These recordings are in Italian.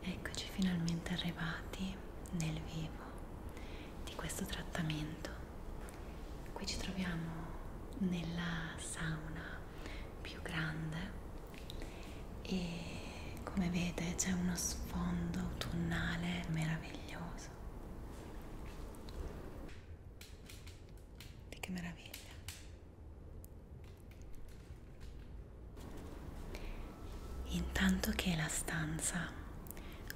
Eccoci finalmente arrivati nel vivo di questo trattamento Qui ci troviamo nella sauna più grande e come vede c'è uno sfondo autunnale meraviglioso. Che meraviglia! Intanto che la stanza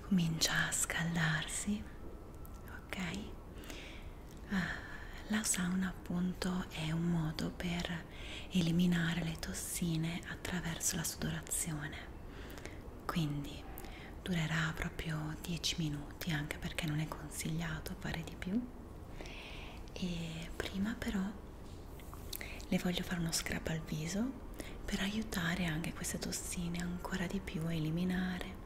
comincia a scaldarsi, ok? Uh, la sauna appunto è un modo per eliminare le tossine attraverso la sudorazione quindi durerà proprio 10 minuti anche perché non è consigliato fare di più e prima però le voglio fare uno scrub al viso per aiutare anche queste tossine ancora di più a eliminare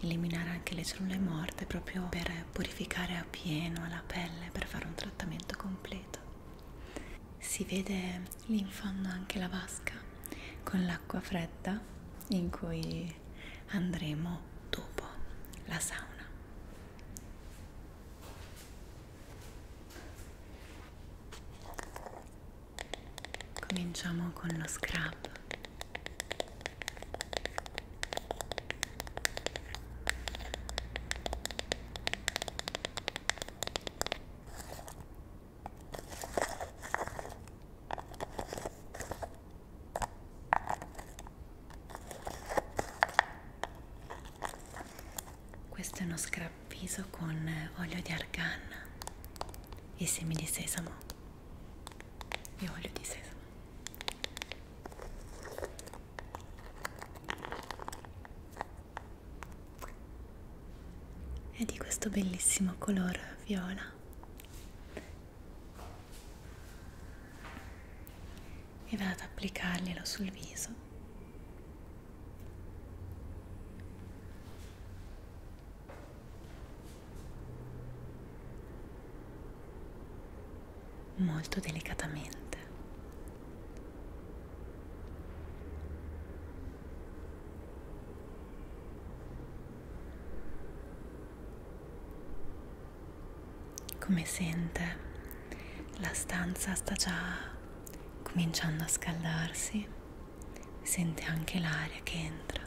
eliminare anche le cellule morte proprio per purificare appieno la pelle per fare un trattamento completo si vede lì in fondo anche la vasca con l'acqua fredda in cui andremo dopo la sauna cominciamo con lo scrub questo è uno scrapviso con eh, olio di argan e semi di sesamo e olio di sesamo è di questo bellissimo color viola e vado ad applicarglielo sul viso molto delicatamente. Come sente, la stanza sta già cominciando a scaldarsi, sente anche l'aria che entra.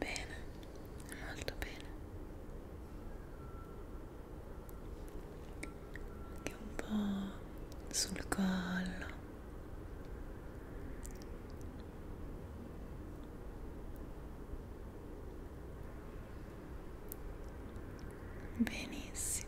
Bene, molto bene. Anche un po' sul collo. Benissimo.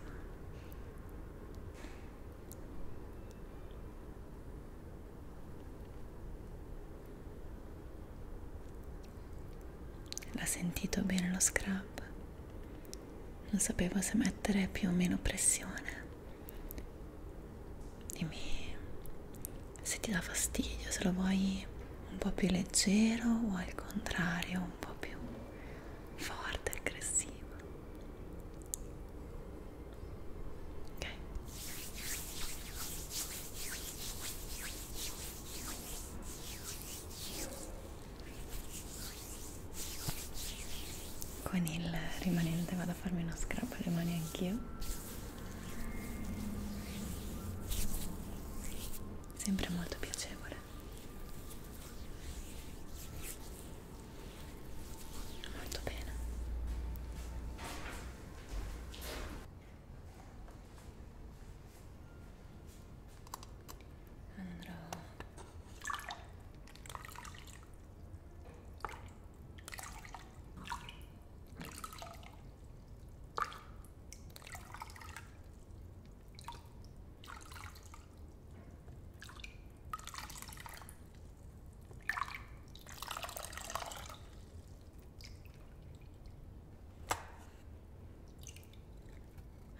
L'ha sentito bene lo scrub? Non sapevo se mettere più o meno pressione. Dimmi se ti dà fastidio, se lo vuoi un po' più leggero o al contrario un po' più forte, aggressivo ok con il rimanente vado a farmi uno scrub alle mani anch'io sempre molto piacevole molto bene andrò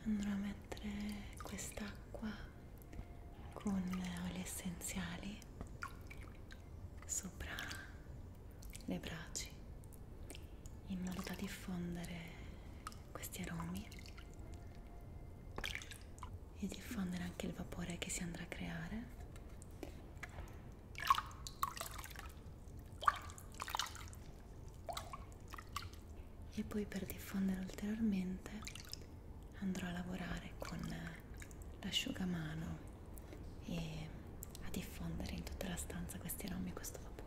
andrò a mettere quest'acqua con oli essenziali sopra le braci in modo da diffondere questi aromi e diffondere anche il vapore che si andrà a creare e poi per diffondere ulteriormente andrò a lavorare con l'asciugamano e a diffondere in tutta la stanza questi aromi questo vapore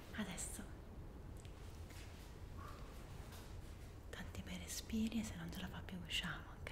adesso tanti bei respiri e se non ce la fa più usciamo ok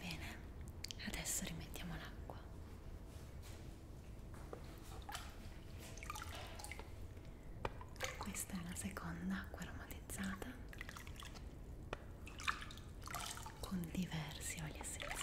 Bene, adesso rimettiamo l'acqua. Questa è la seconda acqua aromatizzata con diversi oli essenziali.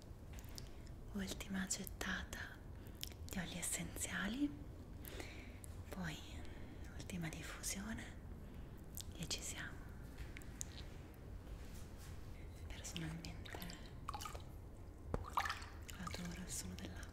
ultima gettata di oli essenziali poi ultima diffusione e ci siamo personalmente adoro il suono dell'acqua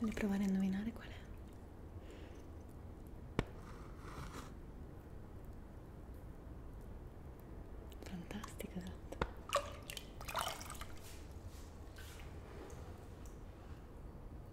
Voglio provare a indovinare qual è. Fantastico, esatto.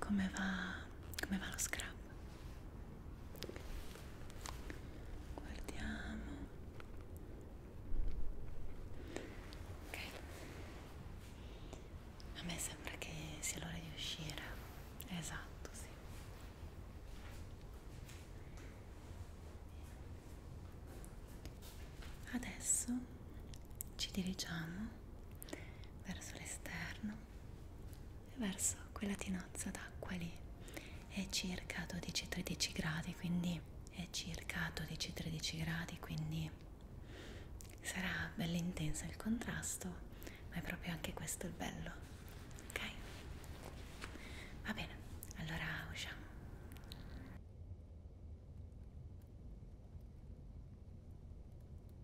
come va, come va lo scrub guardiamo ok a me sembra che sia l'ora di uscire esatto sì Adesso ci dirigiamo verso l'esterno verso quella tinozza d'acqua lì è circa 12-13 gradi quindi è circa 12-13 gradi quindi sarà bello intenso il contrasto ma è proprio anche questo il bello ok va bene allora usciamo